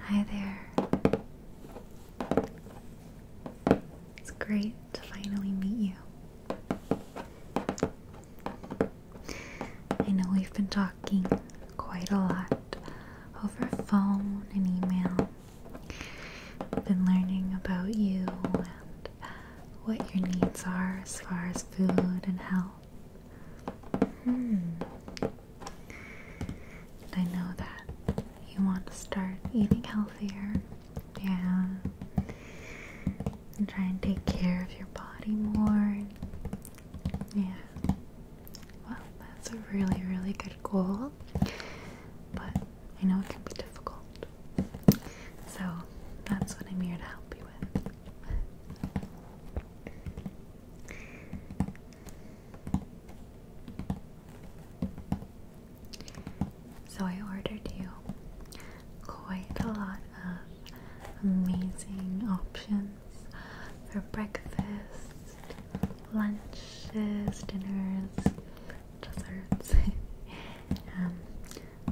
Hi there. It's great to finally meet you. I know we've been talking quite a lot over phone and email. I've been learning about you and what your needs are as far as food and health. Hmm. I know that you want to start eating healthier, yeah, and try and take care of your body more, yeah. Well, that's a really, really good goal, but I know it can be difficult. So that's what I'm here to help you with. So I ordered you quite a lot of amazing options for breakfast, lunches, dinners, desserts, um,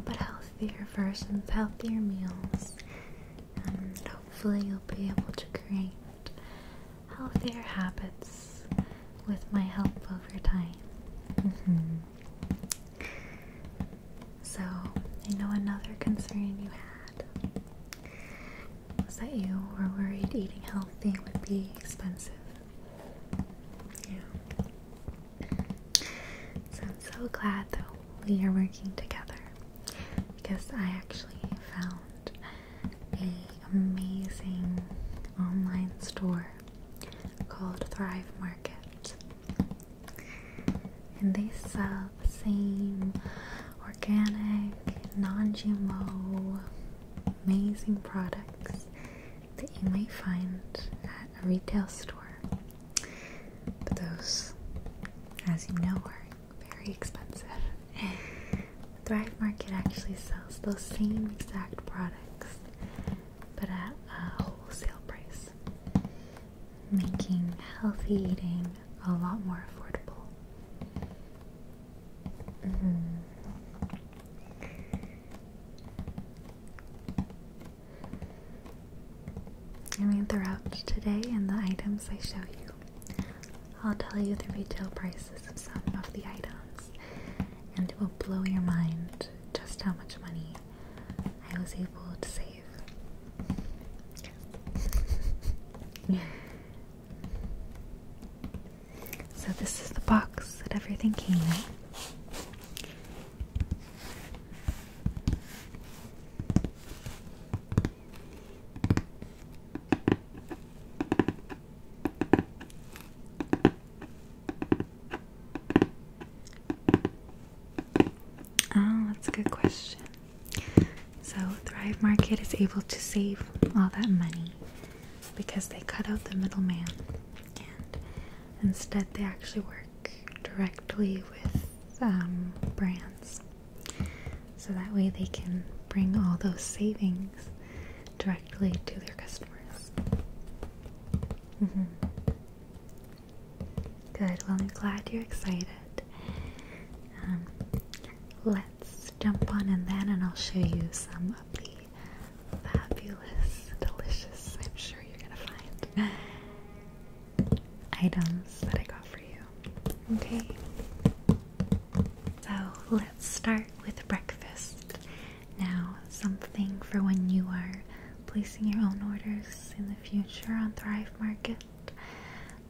but healthier versions, healthier meals, and hopefully you'll be able to create healthier habits with my help over time. Mm-hmm. So, I know another concern you had was that you were worried eating healthy would be expensive. Yeah. So, I'm so glad that we are working together because I actually found found a amazing online store called Thrive Market. And they sell the same organic, non-GMO, amazing products that you might find at a retail store. But those, as you know, are very expensive. Thrive Market actually sells those same exact products but at a wholesale price, making healthy eating a lot more affordable. Mm -hmm. I went throughout today and the items I show you I'll tell you the retail prices of some of the items, and it will blow your mind just how much money I was able to save. so, this is the box that everything came in. Oh, that's a good question. So, Thrive Market is able to save all that money because they cut out the middleman and instead they actually work directly with um, brands. So that way they can bring all those savings directly to their customers. Mm-hmm. Good, well, I'm glad you're excited. Um, let's jump on in then, and I'll show you some of the fabulous, delicious, I'm sure you're gonna find items that I got for you. Okay. So let's start with breakfast. Now, something for when you are placing your own orders in the future on Thrive Market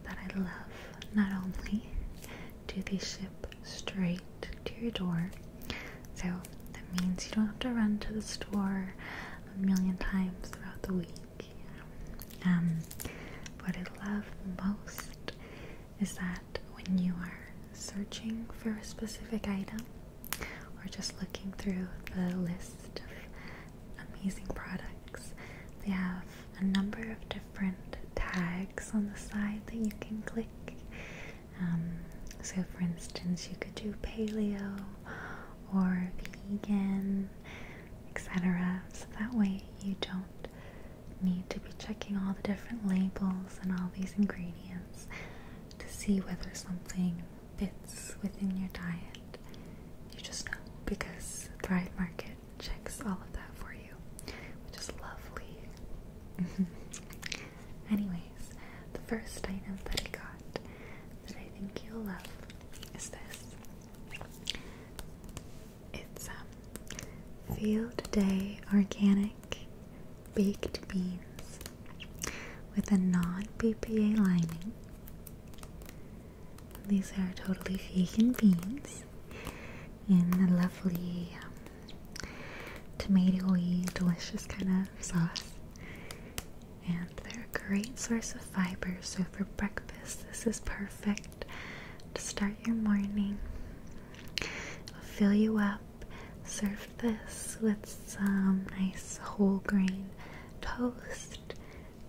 that I love. Not only do they ship straight to your door, so that means you don't have to run to the store a million times throughout the week. Um, what I love most is that when you are searching for a specific item or just looking through the list of amazing products, they have a number of different tags on the side that you can click. Um, so, for instance, you could do paleo or vegan etc. So that way you don't need to be checking all the different labels and all these ingredients to see whether something fits within your diet. You just know because Thrive Market checks all of that for you, which is lovely. Anyways, the first item that I got that I think you'll love is this it's um, Field Day Organic Baked Beans with a non BPA lining. These are totally vegan beans in a lovely um, tomatoey, delicious kind of sauce they're a great source of fiber. So, for breakfast, this is perfect to start your morning. It'll fill you up. Serve this with some nice whole grain toast,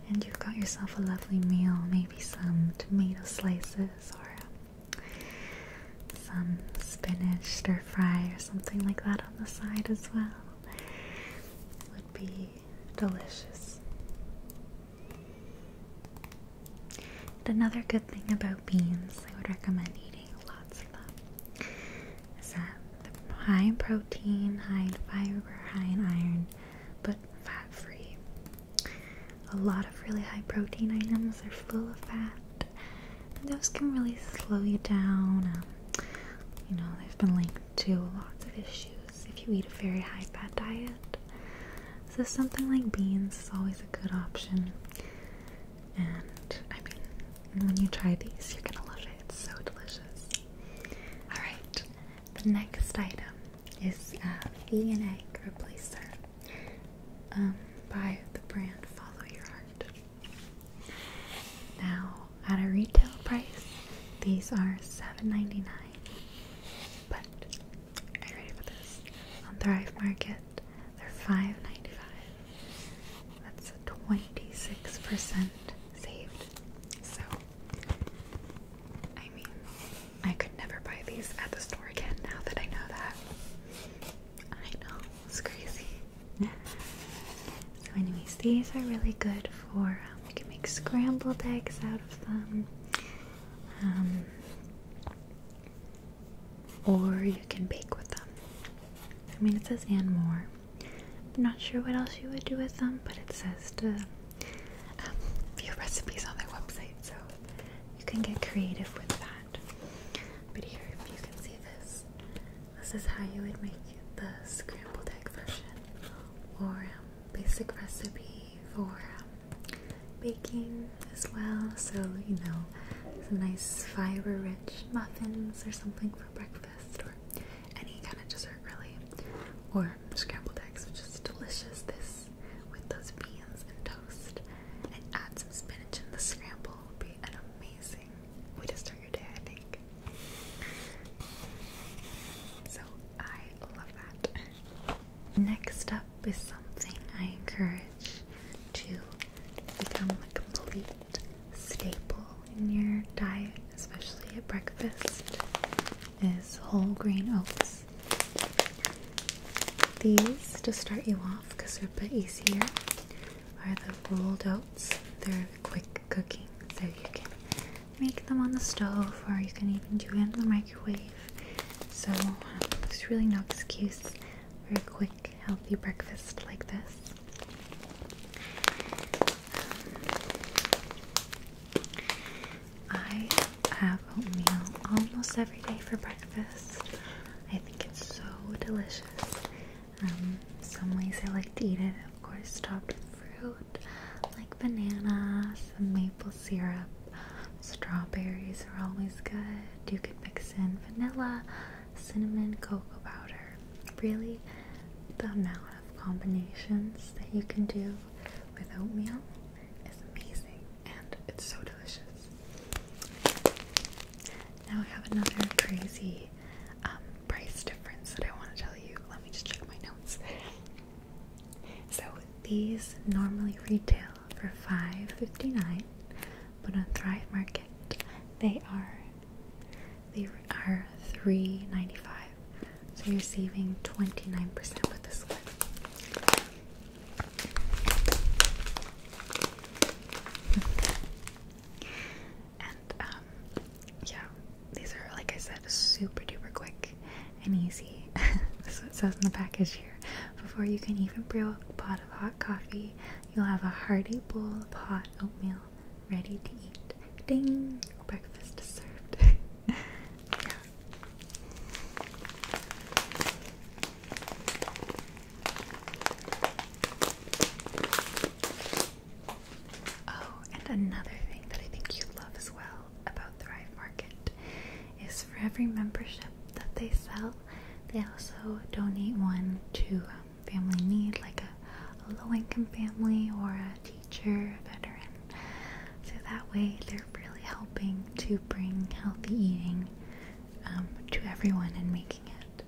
and you've got yourself a lovely meal. Maybe some tomato slices or some spinach stir fry or something like that on the side as well. Would be delicious. another good thing about beans, I would recommend eating lots of them, is that they're high in protein, high in fiber, high in iron, but fat free. A lot of really high protein items are full of fat, and those can really slow you down. Um, you know, they've been linked to lots of issues if you eat a very high fat diet. So, something like beans is always a good option. And I mean, when you try these, you're gonna love it. It's so delicious. Alright, the next item is a vegan egg replacer um, by the brand Follow Your Heart. Now, at a retail price, these are $7.99. But are you ready for this? On Thrive Market, they're $5.95. That's a 26% saved. So, I mean, I could never buy these at the store again now that I know that. I know, it's crazy. so, anyways, these are really good for um, can make scrambled eggs out of them um, or you can bake with them I mean it says and more I'm not sure what else you would do with them but it says to um, view recipes on their website so you can get creative with that but here you can see this this is how you would make the scrambled egg version or um, basic recipe for um, baking as well. So, you know, some nice fiber rich muffins or something for breakfast, or any kind of dessert, really. Or scrambled eggs, which is delicious. This with those beans and toast, and add some spinach in the scramble would be an amazing way to start your day, I think. So I love that. Next up is something I encourage to become a staple in your diet, especially at breakfast, is whole grain oats. These, to start you off because they're a bit easier, are the rolled oats. They're quick cooking, so you can make them on the stove or you can even do it in the microwave. So there's really no excuse for a quick, healthy breakfast like this. I have oatmeal almost every day for breakfast. I think it's so delicious. Um, some ways I like to eat it of course topped with fruit like bananas, some maple syrup, strawberries are always good. You could mix in vanilla, cinnamon, cocoa powder. Really, the amount of combinations that you can do with oatmeal is amazing and it's so delicious. Now I have another crazy um, price difference that I want to tell you. Let me just check my notes. So these normally retail for $5.59, but on Thrive Market they are they are $3.95. So you're saving 29% with this one. And um, yeah, these are, like I said, super duper quick and easy. That's what says in the package here. Before you can even brew a pot of hot coffee, you'll have a hearty bowl of hot oatmeal ready to eat. Ding! Breakfast is served. yeah. Oh, and another thing that I think you love as well about Thrive Market is for every membership that they sell, they also donate one to um, family need, like a, low income family or a teacher, a veteran. So that way they're really helping to bring healthy eating um, to everyone and making it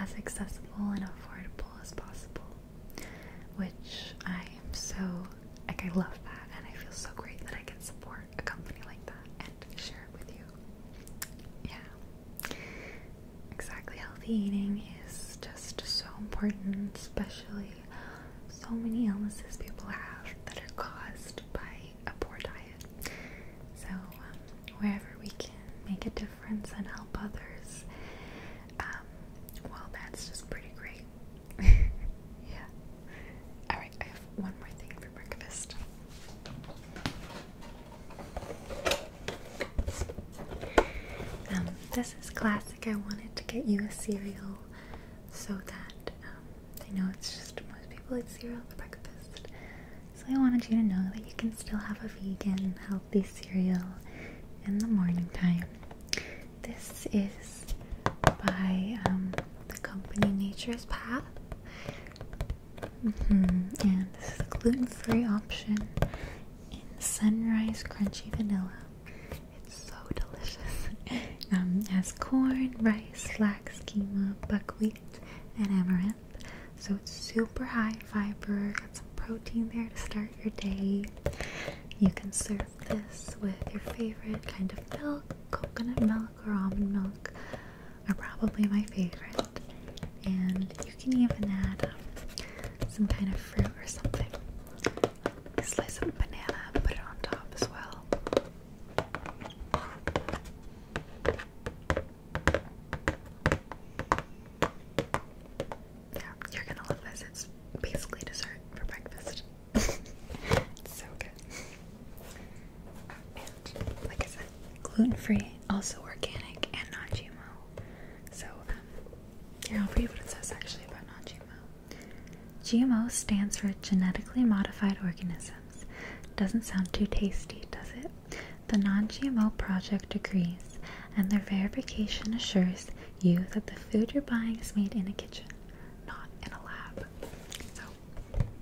as accessible and affordable as possible which I am so like I love that and I feel so great that I can support a company like that and share it with you. Yeah. Exactly. Healthy eating is just so important, especially so many illnesses people have that are caused by a poor diet. So um, wherever we can make a difference and help others, um, well, that's just pretty great. yeah. Alright, I have one more thing for breakfast. Um, this is classic. I wanted to get you a cereal so that um, I know it's just most people eat cereal for breakfast. So I wanted you to know that you can still have a vegan, healthy the cereal in the morning time. This is by um, the company Nature's Path. Mm-hmm. And this is a gluten free option in Sunrise Crunchy Vanilla. It's so delicious. um, it has corn, rice, flax, quinoa, buckwheat, and amaranth. So it's super high fiber, got some protein there to start your day. You can serve this with your favorite kind of milk, coconut milk or almond milk are probably my favorite. And you can even add um, some kind of fruit or something. slice of banana and put it on top as well yeah, you're gonna love this. It's basically dessert for breakfast. so good. And like I said, gluten free, also organic and non GMO. So, um, here I'll what it says actually about non GMO. GMO stands for genetically modified organisms. Doesn't sound too tasty, does it? The Non-GMO Project agrees, and their verification assures you that the food you're buying is made in a kitchen, not in a lab. So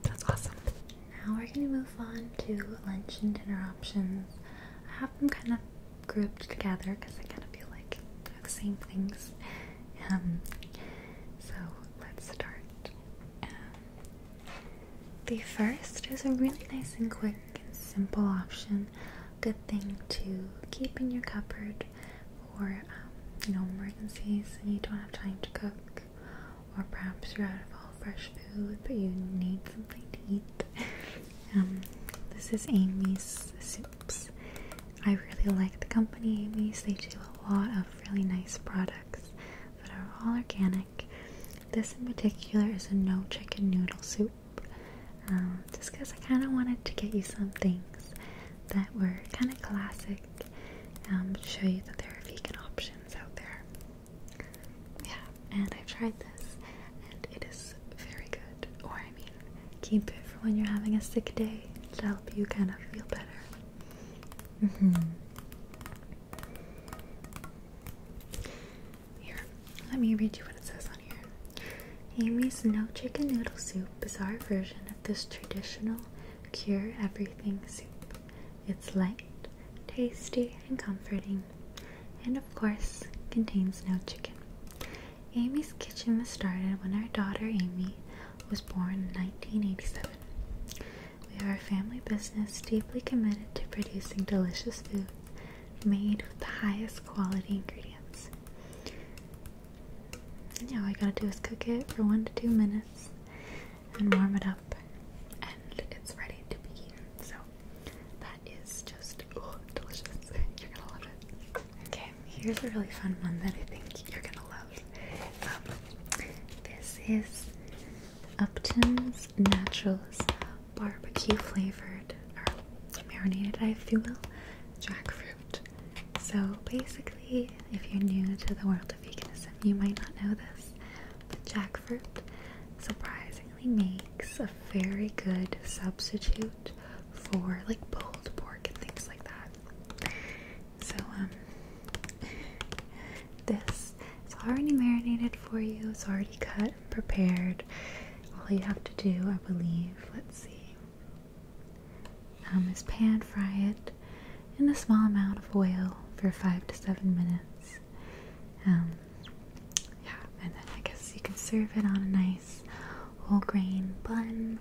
that's awesome. Now we're gonna move on to lunch and dinner options. I have them kind of grouped together because they kind of feel like they're the same things. Um, so let's start. Um, the first is a really nice and quick and simple option good thing to keep in your cupboard for um, you know emergencies and you don't have time to cook, or perhaps you're out of all fresh food but you need something to eat. Um, this is Amy's Soups. I really like the company Amy's. They do a lot of really nice products that are all organic. This in particular is a no chicken noodle soup um, just because I kind of wanted to get you some things that were kind of classic um, to show you that there are vegan options out there. Yeah, and I've tried this and it is very good. Or, I mean, keep it for when you're having a sick day to help you kind of feel better. hmm. Here, let me read you what it says on here. Amy's No Chicken Noodle Soup, bizarre version of this traditional cure everything soup. It's light, tasty, and comforting, and of course, contains no chicken. Amy's Kitchen was started when our daughter Amy was born in 1987. We are a family business deeply committed to producing delicious food made with the highest quality ingredients. And all you gotta do is cook it for one to two minutes and warm it up, and it's ready to be eaten. So that is just oh, delicious. You're gonna love it. Okay, here's a really fun one that I think you're gonna love. Um, this is Upton's Naturals barbecue flavored marinated, if you will, jackfruit. So basically, if you're new to the world of veganism, you might not know this, but jackfruit surprisingly makes a very good substitute for like pulled pork and things like that. So um this is already marinated for you, it's already cut prepared. All you have to do, I believe, let's see, um, is pan fry it in a small amount of oil for five to seven minutes. Um, yeah, and then I guess you can serve it on a nice whole grain bun,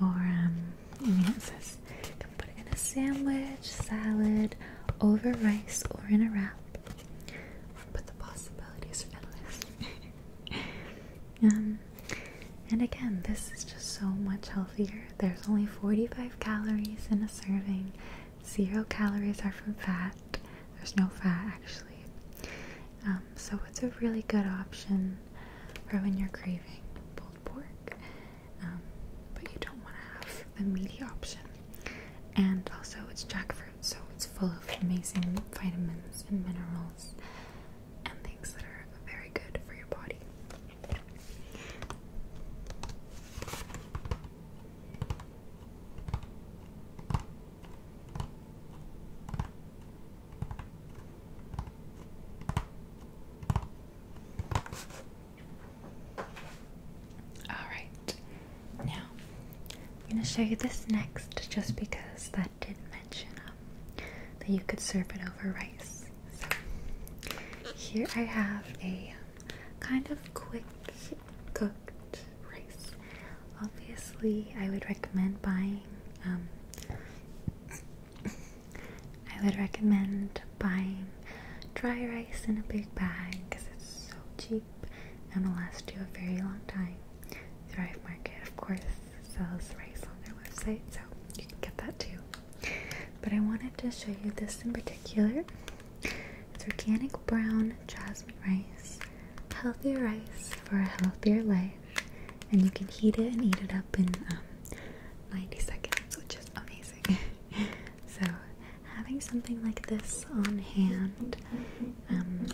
or um, you can put it in a sandwich, salad, over rice, or in a wrap but the possibilities are endless. um, and again, this is just so much healthier. There's only 45 calories in a serving. Zero calories are from fat. There's no fat actually. Um, so it's a really good option for when you're craving pulled pork, um, but you don't want to have the meaty option and also it's jackfruit, so it's full of amazing vitamins and minerals and things that are very good for your body. Alright, now I'm going to show you this next just because that did mention um, that you could serve it over rice. here I have a um, kind of quick cooked rice. Obviously, I would recommend buying. Um, I would recommend buying dry rice in a big bag because it's so cheap and will last you a very long time. Thrive Market, of course, sells rice on their website, so you can get that too. But I wanted to show you this in particular. It's organic brown jasmine rice, healthier rice for a healthier life, and you can heat it and eat it up in um, 90 seconds, which is amazing. so having something like this on hand um,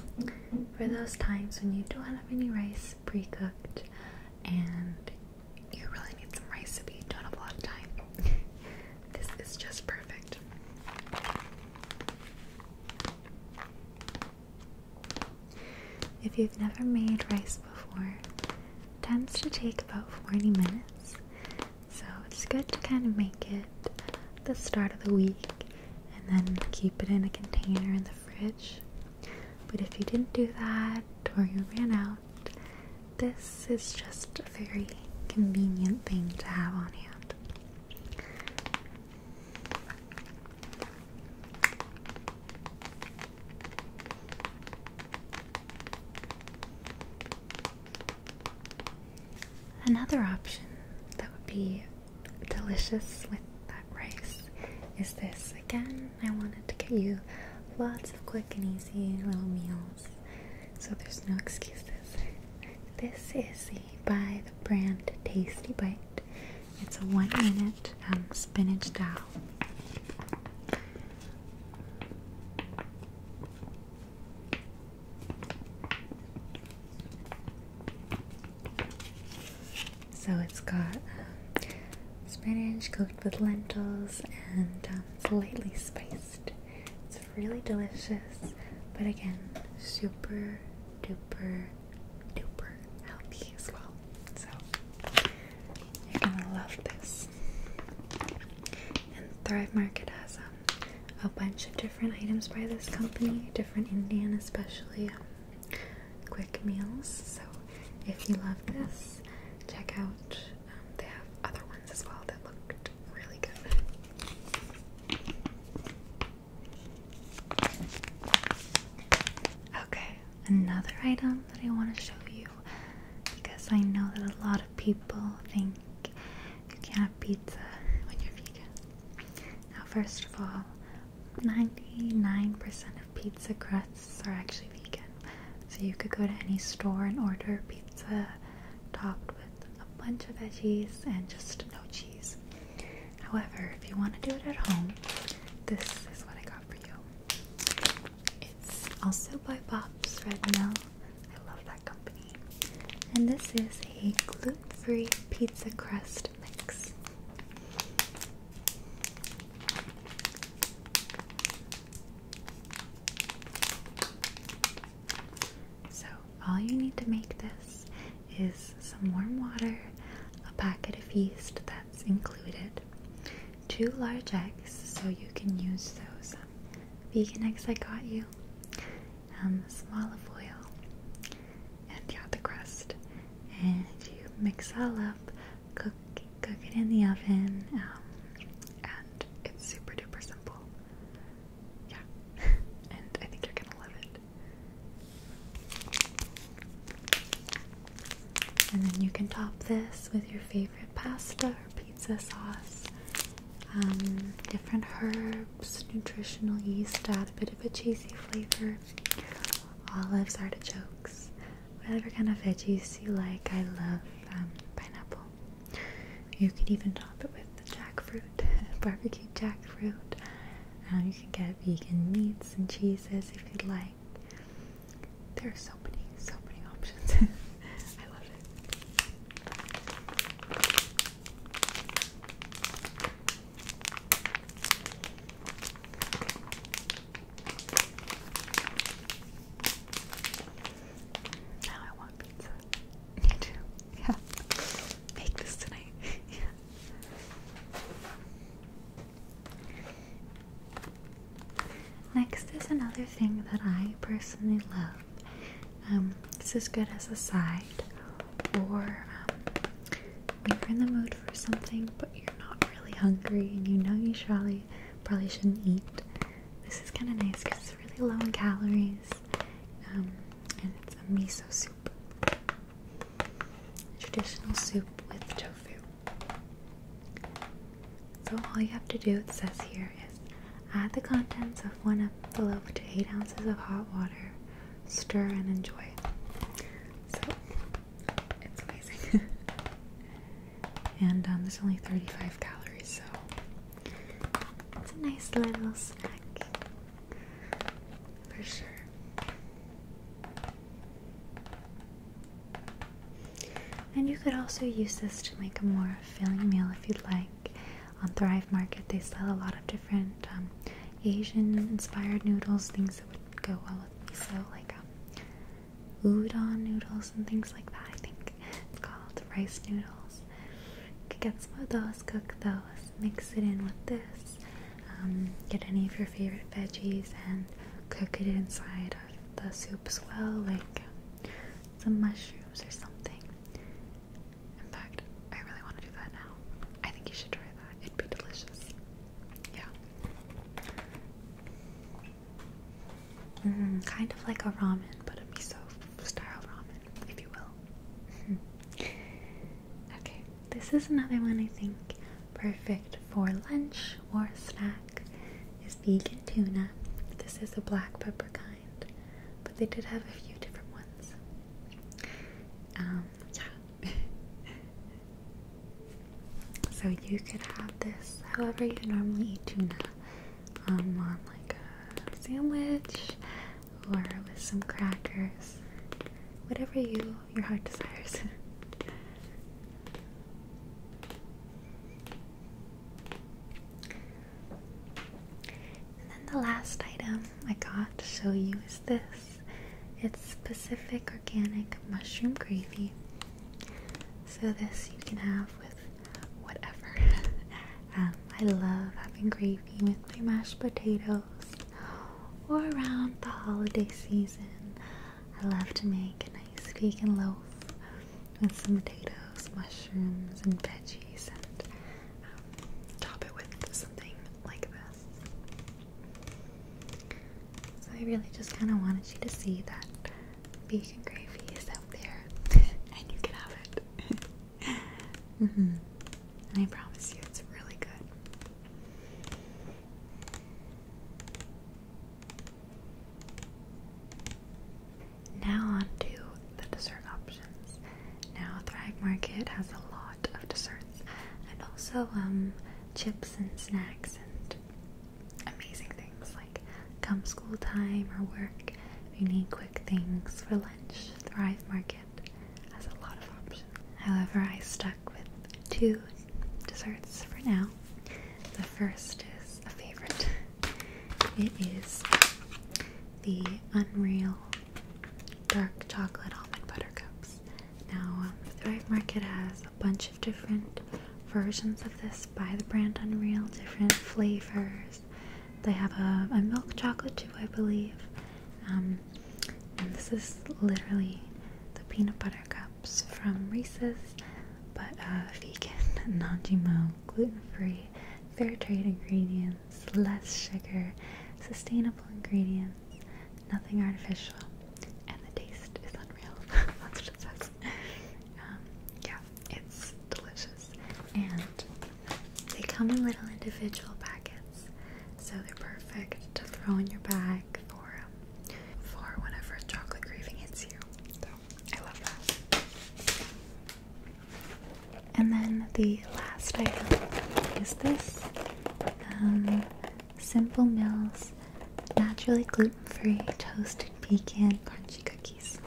for those times when you don't have any rice pre cooked and you really need some rice if you don't have a lot of time. this is just perfect. If you've never made rice before, it tends to take about 40 minutes. So it's good to kind of make it the start of the week and then keep it in a container in the fridge. But if you didn't do that or you ran out, this is just a very convenient thing to have on hand. Another option that would be delicious with that rice is this. Again, I wanted to give you lots of quick and easy little meals, so there's no excuses. This is by the brand Tasty Bite. It's a one minute um, spinach dal. So it's got spinach cooked with lentils and um, slightly spiced. It's really delicious, but again, super duper duper healthy as well. So you're gonna love this. And Thrive Market has um, a bunch of different items by this company, different Indian, especially um, quick meals. So if you love this, check out. Um, they have other ones as well that looked really good. Okay, another item that I want to show you because I know that a lot of people think you can't have pizza when you're vegan. Now, first of all, 99% of pizza crusts are actually vegan, so you could go to any store and order pizza topped with a bunch of veggies and just no cheese. However, if you want to do it at home, this is what I got for you. It's also by Bob's Red Mill, I love that company. And this is a gluten-free pizza crust mix. So, all you need to make this is some warm water, a packet of yeast that's included, two large eggs, so you can use those vegan eggs I got you, um, some olive oil, and yeah, the crust. And you mix all up, cook cook it in the oven, um, and it's super duper simple. Yeah, and I think you're gonna love it. And then you can top this with your favorite pasta pizza sauce, um, different herbs, nutritional yeast to add a bit of a cheesy flavor, olives, artichokes, whatever kind of veggies you like. I love um, pineapple. You can even top it with jackfruit, barbecue jackfruit. Uh, you can get vegan meats and cheeses if you'd like. There are so many, so many options. I love it. Now I want pizza. Me too. Yeah. Make this tonight. yeah. Next is another thing that I personally love. Um, it's as good as a side, or um, when you're in the mood for something but you're not really hungry and you know you probably shouldn't eat. This is kind of nice because it's really low in calories, um, and it's a miso soup, traditional soup with tofu. So all you have to do, it says here, is add the contents of one of the loaf to 8 ounces of hot water, stir and enjoy. So it's amazing. and um, there's only 35 calories, so it's a nice little snack for sure. And you could also use this to make a more filling meal if you'd like. On Thrive Market, they sell a lot of different um, Asian-inspired noodles, things that would go well with So, like um, udon noodles and things like that. I think it's called rice noodles. You could get some of those, cook those, mix it in with this. Um, get any of your favorite veggies and cook it inside of the soup as well, like some mushrooms or something. In fact, I really want to do that now. I think you should try that. It'd be delicious. Yeah. Mm, kind of like a ramen, but a miso style ramen, if you will. okay, this is another one I think perfect for lunch or snack is vegan tuna. This is the black pepper kind, but they did have a few different ones. Um, yeah. so you could have this however you normally eat tuna um, on like a sandwich or with some crackers, whatever you your heart desires. And then the last item I got to show you is this. It's specific Organic Mushroom Gravy. So this you can have with whatever. Um, I love having gravy with my mashed potatoes or around the holiday season. I love to make a nice vegan loaf with some potatoes, mushrooms, and veggies, and um, top it with something like this. So I really just kind of wanted you to see that vegan gravy is out there, and you can have it. -hmm. And I promise you, it's really good. Now on to the dessert options. Now Thrive Market has a lot of desserts and also um, chips and snacks and amazing things like come school time or work. If you need quick things for lunch, Thrive Market has a lot of options. However, I stuck with two desserts for now. The first is a favorite. It is the Unreal Dark Chocolate Almond Butter Cups. Now, um, Thrive Market has a bunch of different versions of this by the brand Unreal, different flavors. They have a, milk chocolate too, I believe. Um, and this is literally the peanut butter cups from Reese's but uh, vegan, non GMO, gluten free, fair trade ingredients, less sugar, sustainable ingredients, nothing artificial, and the taste is unreal. That's just it says. Um, yeah, it's delicious. And they come in little individual packets, so they're perfect to throw in your bag for, um, for whenever chocolate craving hits you. And then the last item is this um, Simple Mills Naturally Gluten Free Toasted Pecan Crunchy Cookies.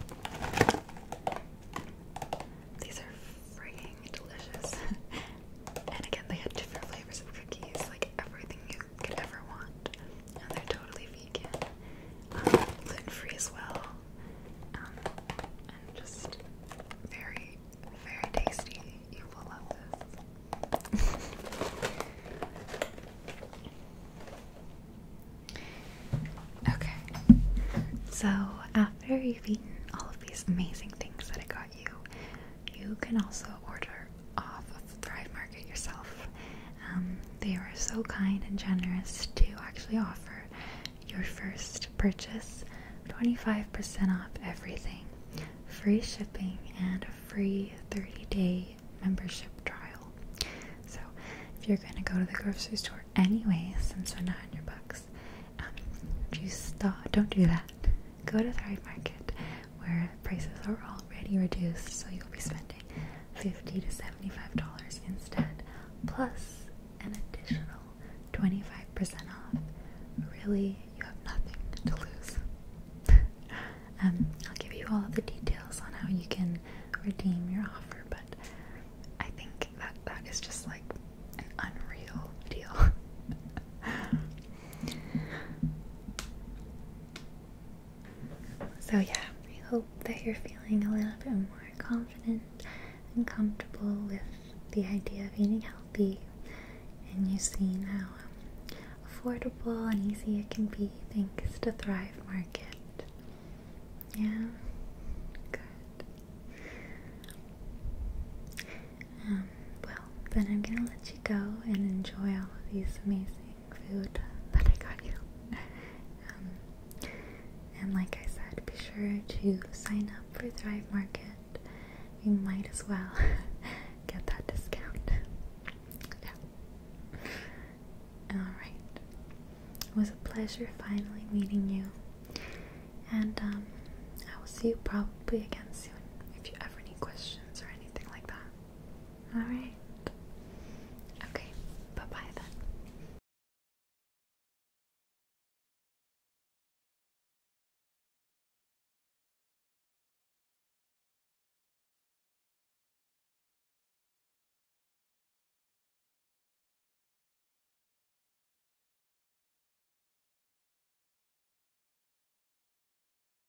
These are freaking delicious. and again, they have different flavors of cookies, like everything you could ever want. And they're totally vegan, um, gluten free as well, um, and just very, very tasty. You will love this. okay, so after you've eaten all of these amazing things that I got you, you can also order off Thrive Market yourself. Um, they were so kind and generous to actually offer your first purchase 25% off everything, free shipping, and a free 30 day membership trial. So, if you're going to go to the grocery store anyway, since we're not on your books, um, do don't do that. Go to Thrive Market where prices are already reduced, so you'll be spending $50 to $75 instead, plus an additional 25% off. Really, you have nothing to lose. um, I'll give you all the details on how you can redeem your offer, but I think that that is just like an unreal deal. So, yeah, I hope that you're feeling a little bit more confident and comfortable with the idea of eating healthy, and you've seen how affordable and easy it can be thanks to Thrive Market. Yeah, good. Um, well, then I'm gonna let you go and enjoy all of these amazing food that I got you. Um, and like I said, be sure to sign up for Thrive Market. You might as well get that discount. yeah. Alright. It was a pleasure finally meeting you. And um, I will see you probably again soon if you ever need questions or anything like that. Alright. Okay, bye bye then.